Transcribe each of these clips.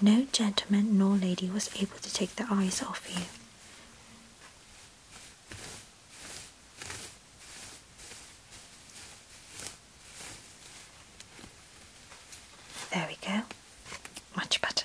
No gentleman nor lady was able to take their eyes off you. There we go. Much better.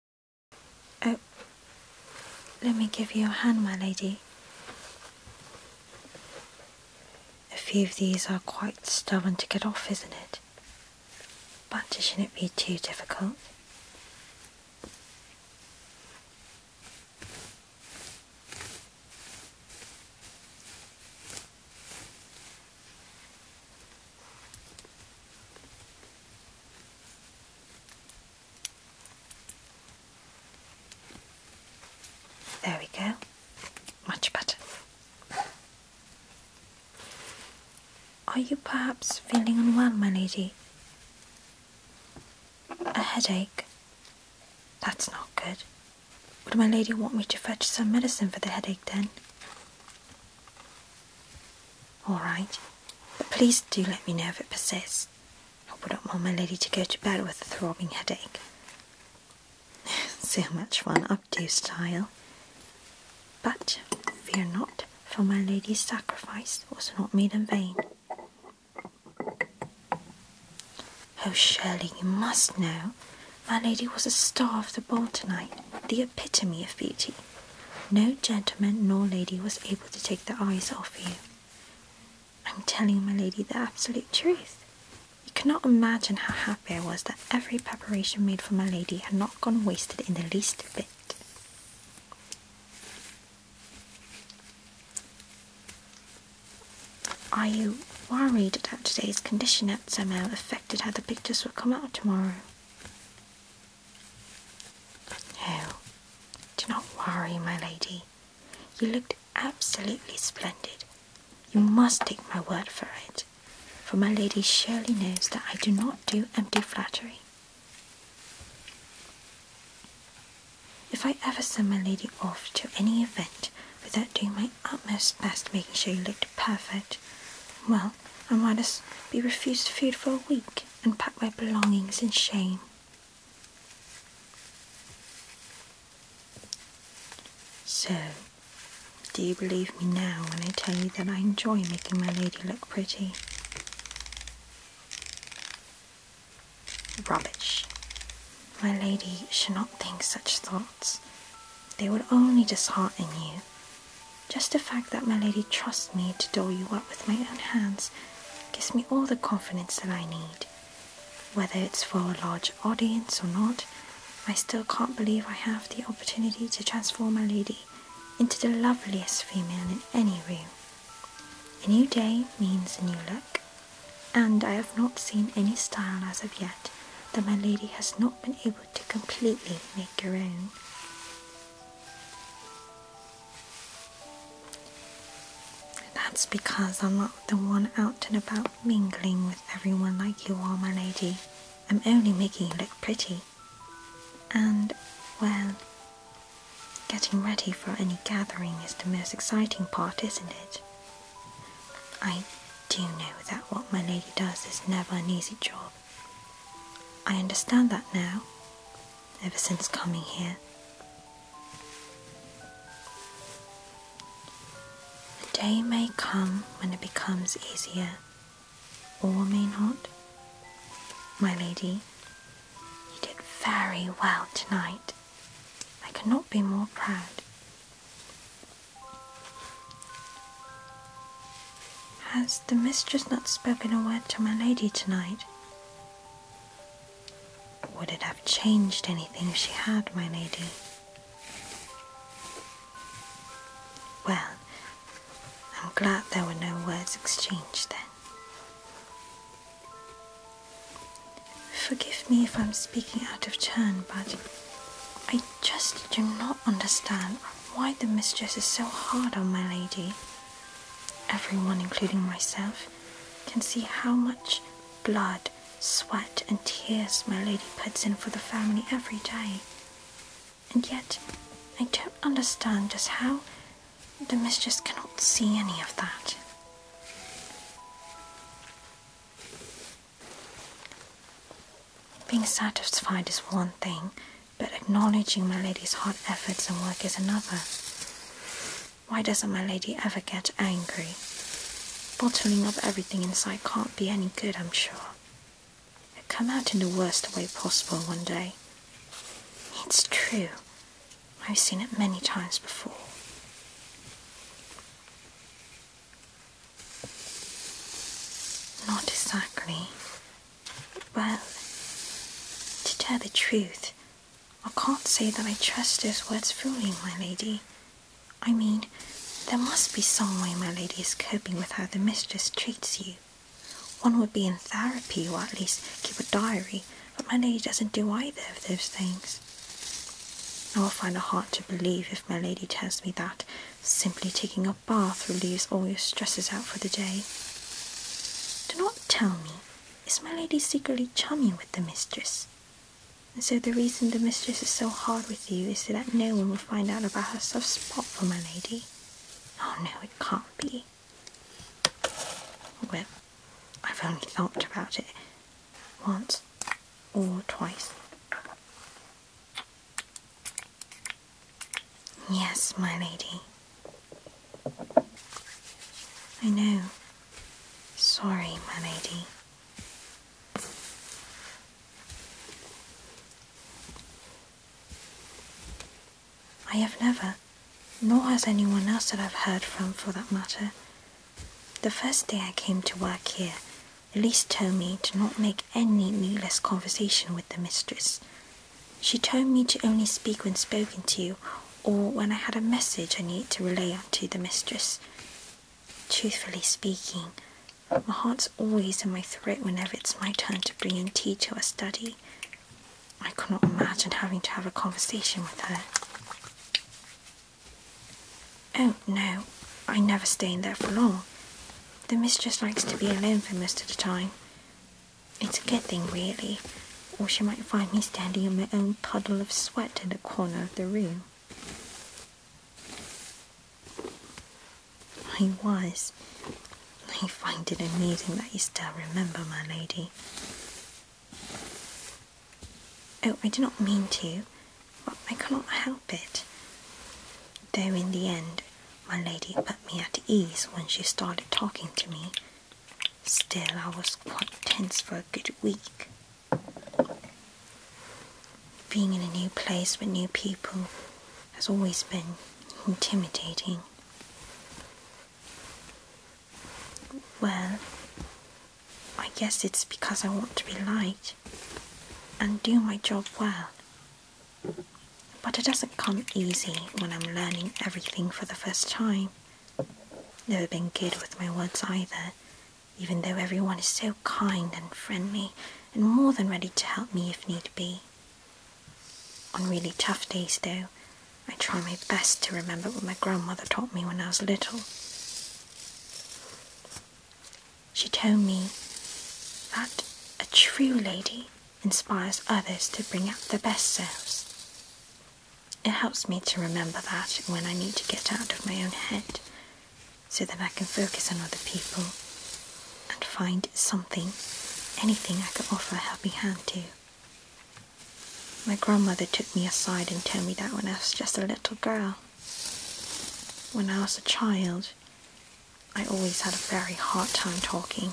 Oh, let me give you a hand, my lady. A few of these are quite stubborn to get off, isn't it? But shouldn't it be too difficult? There we go, much better. Are you perhaps feeling unwell, my lady? A headache? That's not good. Would my lady want me to fetch some medicine for the headache then? All right, but please do let me know if it persists. I wouldn't want my lady to go to bed with a throbbing headache. so much fun, updo style. But fear not, for my lady's sacrifice was not made in vain. Oh, Shirley, you must know. My lady was a star of the ball tonight, the epitome of beauty. No gentleman nor lady was able to take their eyes off you. I'm telling my lady, the absolute truth. You cannot imagine how happy I was that every preparation made for my lady had not gone wasted in the least bit. Are you worried that today's condition at somehow affected how the pictures will come out tomorrow? No, do not worry, my lady. You looked absolutely splendid. You must take my word for it, for my lady surely knows that I do not do empty flattery. If I ever send my lady off to any event without doing my utmost best making sure you looked perfect, well, and why must be refused food for a week and pack my belongings in shame. So, do you believe me now when I tell you that I enjoy making my lady look pretty? Rubbish. My lady should not think such thoughts. They would only dishearten you. Just the fact that my lady trusts me to doll you up with my own hands gives me all the confidence that I need. Whether it's for a large audience or not, I still can't believe I have the opportunity to transform my lady into the loveliest female in any room. A new day means a new look, and I have not seen any style as of yet that my lady has not been able to completely make her own. That's because I'm not the one out and about mingling with everyone like you are, my lady. I'm only making you look pretty. And, well, getting ready for any gathering is the most exciting part, isn't it? I do know that what my lady does is never an easy job. I understand that now, ever since coming here. the day may come when it becomes easier, or may not. My lady, you did very well tonight. I cannot be more proud. Has the mistress not spoken a word to my lady tonight? Would it have changed anything if she had, my lady? Well, I'm glad there were no words exchanged then. Forgive me if I'm speaking out of turn, but I just do not understand why the mistress is so hard on my lady. Everyone, including myself, can see how much blood, sweat, and tears my lady puts in for the family every day. And yet, I don't understand just how the mistress cannot see any of that. Being satisfied is one thing, but acknowledging my lady's hard efforts and work is another. Why doesn't my lady ever get angry? Bottling up everything inside can't be any good, I'm sure. It'll come out in the worst way possible one day. It's true. I've seen it many times before. Not exactly. Well, to tell the truth, I can't say that I trust those words fully, my lady. I mean, there must be some way my lady is coping with how the mistress treats you. One would be in therapy or at least keep a diary, but my lady doesn't do either of those things. I will find it hard to believe if my lady tells me that simply taking up a bath relieves all your stresses out for the day. Do not tell me, is my lady secretly chummy with the mistress? And so the reason the mistress is so hard with you is so that no one will find out about her soft spot for my lady. Oh no, it can't be. Well, I've only thought about it once or twice. Yes, my lady. I know. Sorry, my lady. I have never, nor has anyone else that I've heard from for that matter, the first day I came to work here, Elise told me to not make any needless conversation with the mistress, she told me to only speak when spoken to, or when I had a message I needed to relay unto the mistress. Truthfully speaking, my heart's always in my throat whenever it's my turn to bring in tea to her study. I cannot imagine having to have a conversation with her. Oh no, I never stay in there for long. The mistress likes to be alone for most of the time. It's a good thing, really, or she might find me standing in my own puddle of sweat in the corner of the room. I was. I find it amusing that you still remember, my lady. Oh, I do not mean to, but I cannot help it. Though in the end, my lady put me at ease when she started talking to me. Still, I was quite tense for a good week. Being in a new place with new people has always been intimidating. Well, I guess it's because I want to be liked and do my job well but it doesn't come easy when I'm learning everything for the first time. Never been good with my words either, even though everyone is so kind and friendly and more than ready to help me if need be. On really tough days, though, I try my best to remember what my grandmother taught me when I was little. She told me that a true lady inspires others to bring out their best selves. It helps me to remember that when I need to get out of my own head so that I can focus on other people and find something, anything I can offer a helping hand to. My grandmother took me aside and told me that when I was just a little girl. When I was a child, I always had a very hard time talking,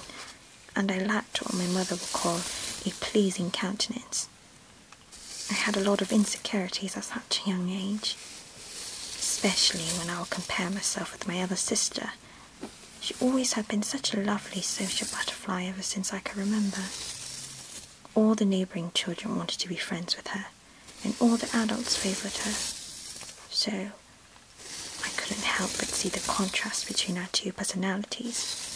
and I lacked what my mother would call a pleasing countenance. I had a lot of insecurities at such a young age, especially when I would compare myself with my other sister. She always had been such a lovely social butterfly ever since I can remember. All the neighbouring children wanted to be friends with her, and all the adults favoured her. So I couldn't help but see the contrast between our two personalities.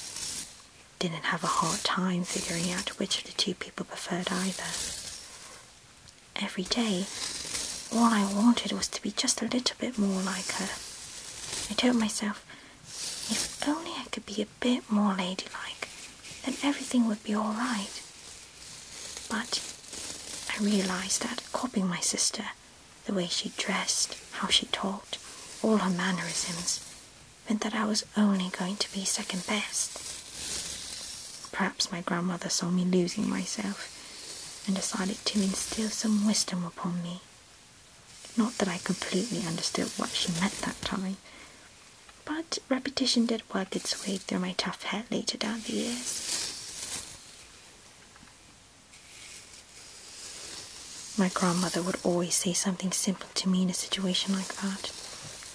Didn't have a hard time figuring out which of the two people preferred either. Every day, all I wanted was to be just a little bit more like her. I told myself, if only I could be a bit more ladylike, then everything would be alright. But I realized that copying my sister the way she dressed, how she talked, all her mannerisms, meant that I was only going to be second best. Perhaps my grandmother saw me losing myself and decided to instill some wisdom upon me. Not that I completely understood what she meant that time, but repetition did work its way through my tough head later down the years. My grandmother would always say something simple to me in a situation like that,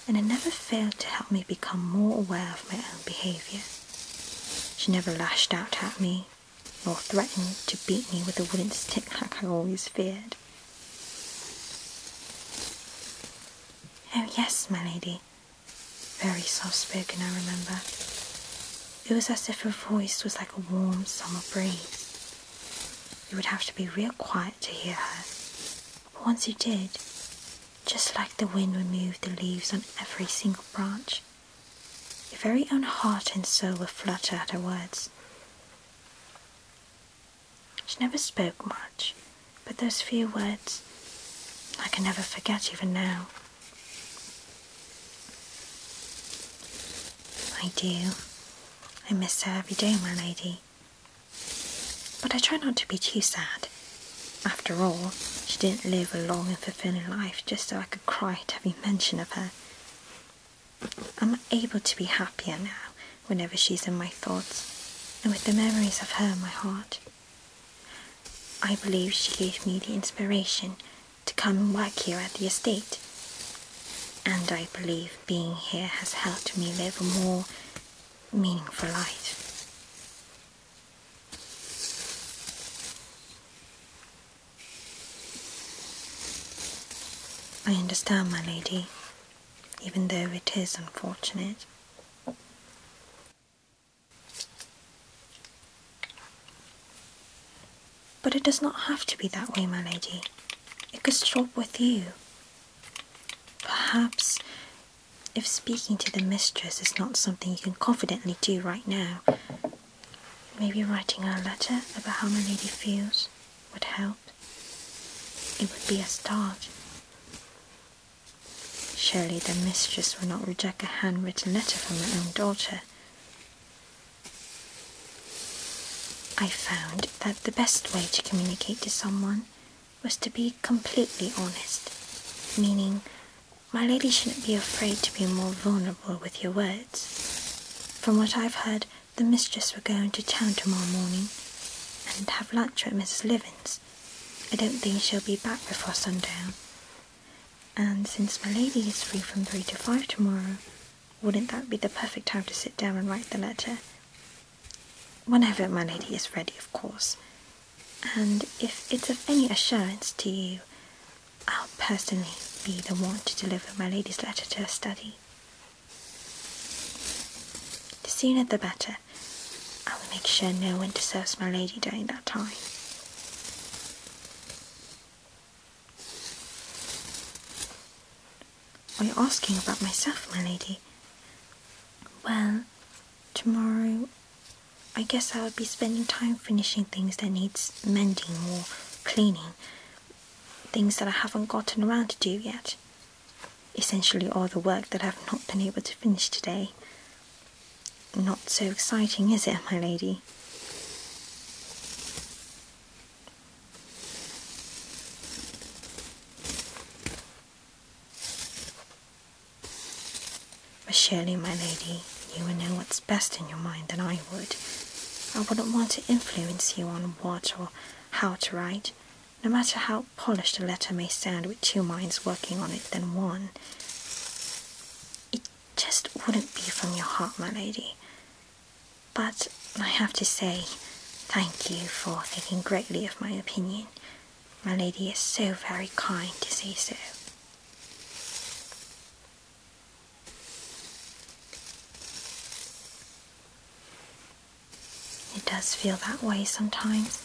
and it never failed to help me become more aware of my own behaviour. She never lashed out at me, nor threatened to beat me with a wooden stick like I always feared. Oh, yes, my lady. Very soft spoken, I remember. It was as if her voice was like a warm summer breeze. You would have to be real quiet to hear her, but once you did, just like the wind removed the leaves on every single branch, your very own heart and soul would flutter at her words. She never spoke much, but those few words I can never forget even now. I do. I miss her every day, my lady. But I try not to be too sad. After all, she didn't live a long and fulfilling life just so I could cry at every mention of her. I'm able to be happier now whenever she's in my thoughts and with the memories of her in my heart. I believe she gave me the inspiration to come and work here at the estate. And I believe being here has helped me live a more meaningful life. I understand, my lady, even though it is unfortunate. But it does not have to be that way, my lady. It could stop with you. Perhaps if speaking to the mistress is not something you can confidently do right now, maybe writing her a letter about how my lady feels would help. It would be a start. Surely the mistress will not reject a handwritten letter from her own daughter. I found that the best way to communicate to someone was to be completely honest, meaning my lady shouldn't be afraid to be more vulnerable with your words. From what I've heard, the mistress will go into town tomorrow morning and have lunch at Mrs. Livin's. I don't think she'll be back before sundown, and since my lady is free from 3 to 5 tomorrow, wouldn't that be the perfect time to sit down and write the letter? Whenever my lady is ready, of course. And if it's of any assurance to you, I'll personally be the one to deliver my lady's letter to her study. The sooner the better. I will make sure no one disturbs my lady during that time. Are you asking about myself, my lady? Well, tomorrow I guess I will be spending time finishing things that needs mending or cleaning. Things that I haven't gotten around to do yet. Essentially all the work that I've not been able to finish today not so exciting, is it, my lady? But surely, my lady, you will know what's best in your mind than I would. I wouldn't want to influence you on what or how to write, no matter how polished a letter may sound with two minds working on it than one just wouldn't be from your heart, my lady. But I have to say thank you for thinking greatly of my opinion. My lady is so very kind to say so. It does feel that way sometimes.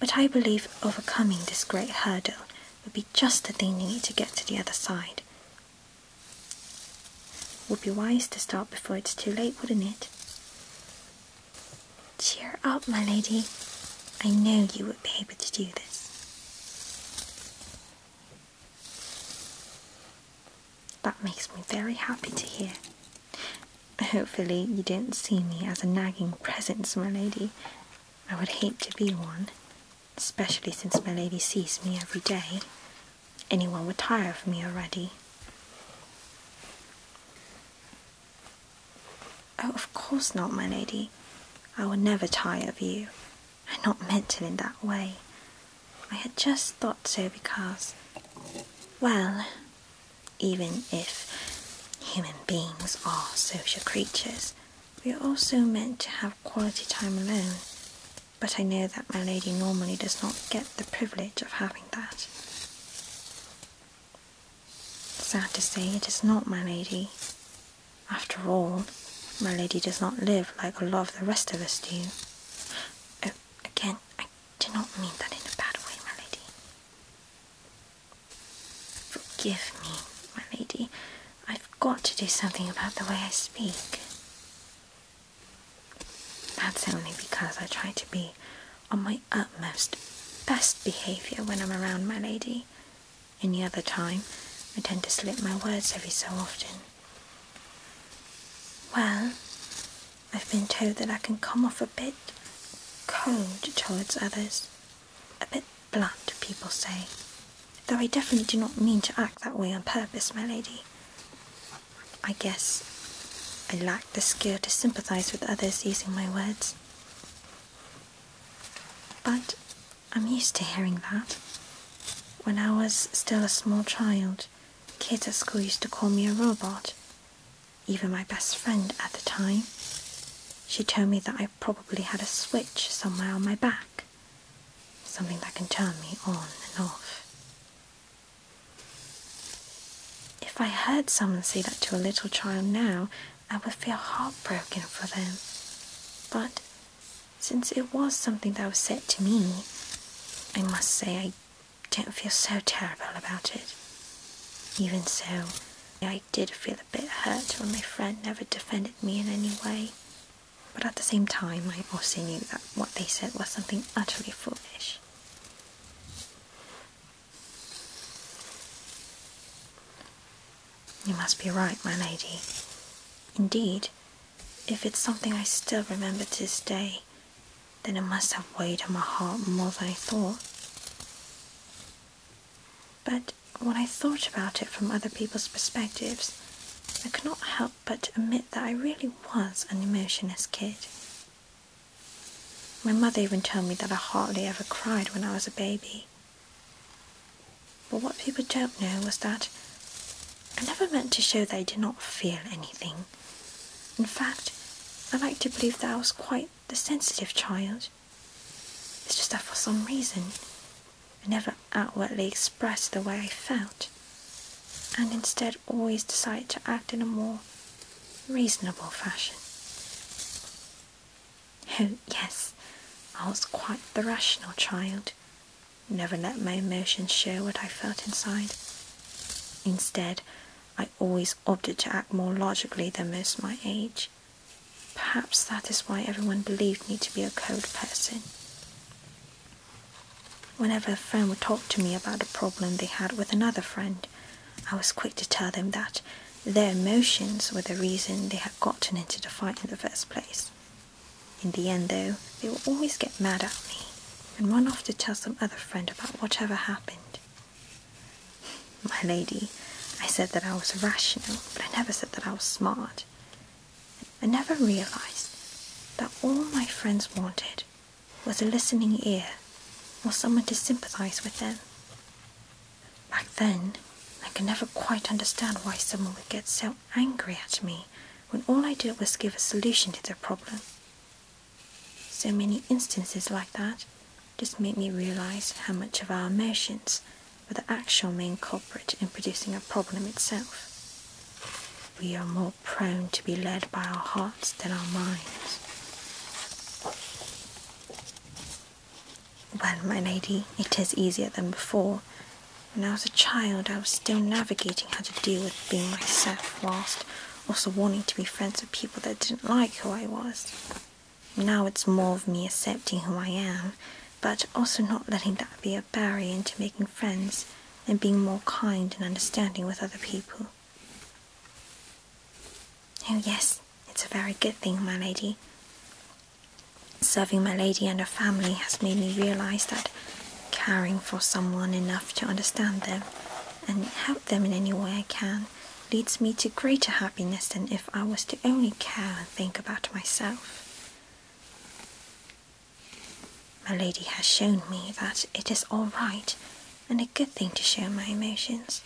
But I believe overcoming this great hurdle would be just the thing you need to get to the other side. Would be wise to start before it's too late, wouldn't it? Cheer up, my lady. I know you would be able to do this. That makes me very happy to hear. Hopefully, you don't see me as a nagging presence, my lady. I would hate to be one especially since my lady sees me every day. Anyone would tire of me already. Oh, of course not, my lady. I will never tire of you. I'm not mental in that way. I had just thought so because, well, even if human beings are social creatures, we are also meant to have quality time alone, but I know that my lady normally does not get the privilege of having that. Sad to say, it is not my lady. After all, my lady does not live like a lot of the rest of us do. Oh, again, I do not mean that in a bad way, my lady. Forgive me, my lady. I've got to do something about the way I speak. That's only because I try to be on my utmost best behaviour when I'm around my lady. Any other time, I tend to slip my words every so often. Well, I've been told that I can come off a bit cold towards others a bit blunt, people say, though I definitely do not mean to act that way on purpose, my lady. I guess I lack the skill to sympathise with others using my words. But I'm used to hearing that. When I was still a small child, kids at school used to call me a robot. Even my best friend at the time. She told me that I probably had a switch somewhere on my back something that can turn me on and off. If I heard someone say that to a little child now, I would feel heartbroken for them. But since it was something that was said to me, I must say I don't feel so terrible about it. Even so, I did feel a bit hurt when my friend never defended me in any way but at the same time, I also knew that what they said was something utterly foolish. You must be right, my lady. Indeed, if it's something I still remember to this day, then it must have weighed on my heart more than I thought. But when I thought about it from other people's perspectives, I could not help but admit that I really was an emotionless kid. My mother even told me that I hardly ever cried when I was a baby. But what people don't know was that I never meant to show that I did not feel anything. In fact, I like to believe that I was quite the sensitive child it's just that for some reason, I never outwardly expressed the way I felt, and instead always decided to act in a more reasonable fashion. Oh, yes, I was quite the rational child, never let my emotions show what I felt inside. Instead, I always opted to act more logically than most my age. Perhaps that is why everyone believed me to be a cold person. Whenever a friend would talk to me about a problem they had with another friend, I was quick to tell them that their emotions were the reason they had gotten into the fight in the first place. In the end, though, they would always get mad at me and run off to tell some other friend about whatever happened. My lady, I said that I was rational, but I never said that I was smart. I never realized that all my friends wanted was a listening ear or someone to sympathize with them. Back then, I could never quite understand why someone would get so angry at me when all I did was give a solution to their problem. So many instances like that just made me realize how much of our emotions but the actual main culprit in producing a problem itself. We are more prone to be led by our hearts than our minds. Well, my lady, it is easier than before. When I was a child, I was still navigating how to deal with being myself whilst also wanting to be friends with people that didn't like who I was. Now it's more of me accepting who I am but also not letting that be a barrier into making friends and being more kind and understanding with other people. Oh, yes, it's a very good thing, my lady. Serving my lady and her family has made me realize that caring for someone enough to understand them and help them in any way I can leads me to greater happiness than if I was to only care and think about myself. My lady has shown me that it is alright and a good thing to show my emotions,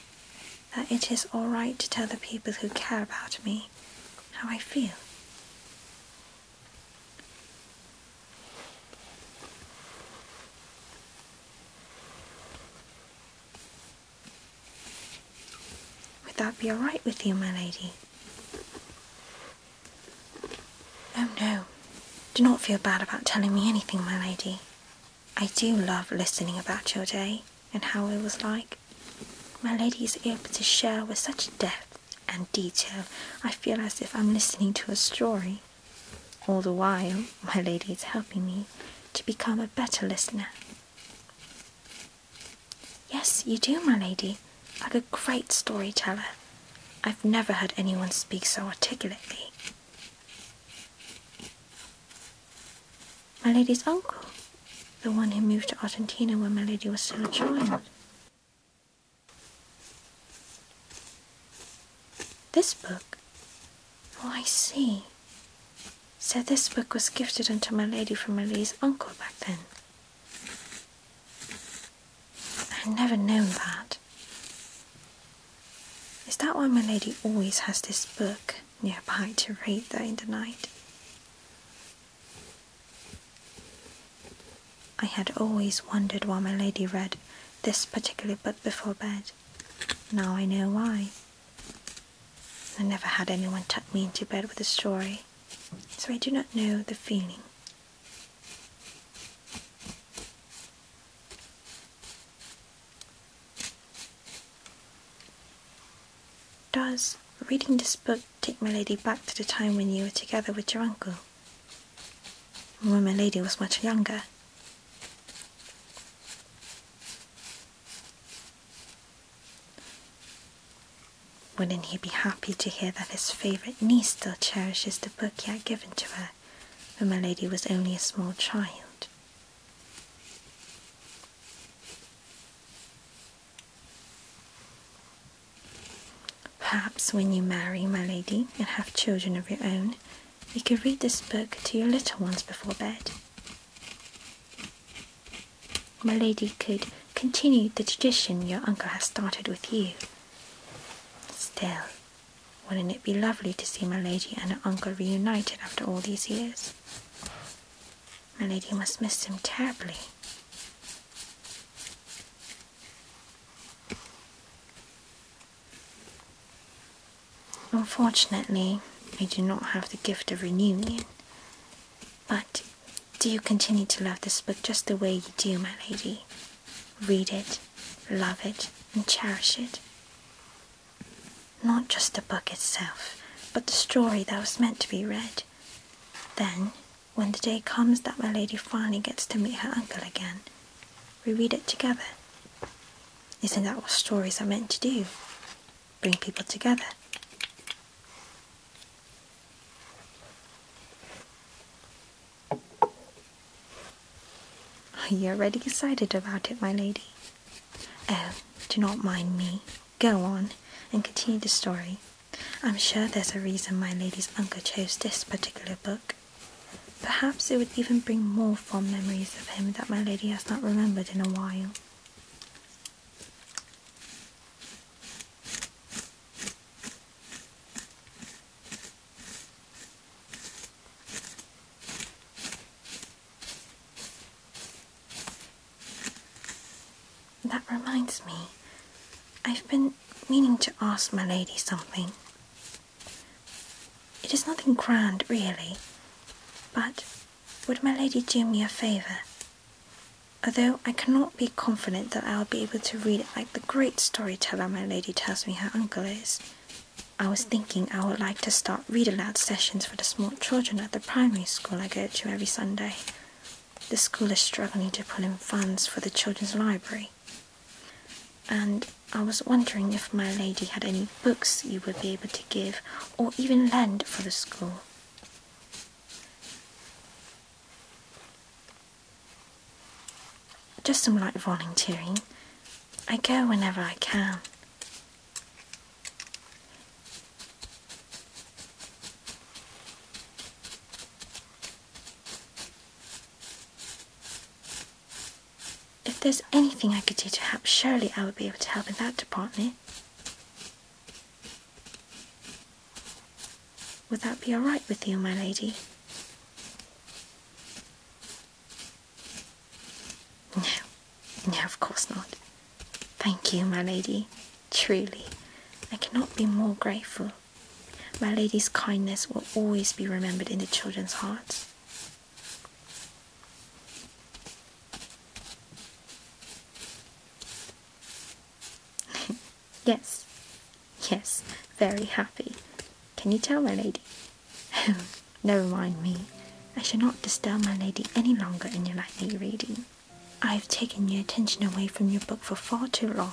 that it is alright to tell the people who care about me how I feel. Would that be all right with you, my lady? Oh no, do not feel bad about telling me anything, my lady. I do love listening about your day and how it was like. My lady is able to share with such depth and detail, I feel as if I'm listening to a story. All the while, my lady is helping me to become a better listener. Yes, you do, my lady, like a great storyteller. I've never heard anyone speak so articulately. My lady's uncle, the one who moved to Argentina when my lady was still a child. This book? Oh, I see. So this book was gifted unto my lady from my lady's uncle back then. I've never known that. Is that why my lady always has this book nearby to read there in the night? I had always wondered why my lady read this particular book before bed. Now I know why. I never had anyone tuck me into bed with a story, so I do not know the feeling. Does reading this book take my lady back to the time when you were together with your uncle? When my lady was much younger. Wouldn't he be happy to hear that his favourite niece still cherishes the book he had given to her when my lady was only a small child? Perhaps when you marry, my lady, and have children of your own, you could read this book to your little ones before bed my lady could continue the tradition your uncle has started with you. Still, wouldn't it be lovely to see my lady and her uncle reunited after all these years? My lady must miss him terribly. Unfortunately, I do not have the gift of reunion, but do you continue to love this book just the way you do, my lady? Read it, love it, and cherish it. Not just the book itself, but the story that was meant to be read. Then, when the day comes that my lady finally gets to meet her uncle again, we read it together. Isn't that what stories are meant to do? bring people together. Are you already excited about it, my lady? Oh, do not mind me. Go on and continue the story. I'm sure there's a reason my lady's uncle chose this particular book. Perhaps it would even bring more fond memories of him that my lady has not remembered in a while. That reminds me, I've been meaning to ask my lady something. It is nothing grand, really, but would my lady do me a favour Although I cannot be confident that I will be able to read it like the great storyteller my lady tells me her uncle is, I was thinking I would like to start read aloud sessions for the small children at the primary school I go to every Sunday. The school is struggling to pull in funds for the children's library, and I was wondering if my lady had any books you would be able to give or even lend for the school. Just some light volunteering. I go whenever I can. If there's anything I could do to help, surely I would be able to help in that department. Would that be all right with you, my lady? No, no, of course not. Thank you, my lady. Truly, I cannot be more grateful. My lady's kindness will always be remembered in the children's hearts. yes, yes, very happy. Can you tell my lady? never mind me. I shall not disturb my lady any longer in your nightly reading. I have taken your attention away from your book for far too long.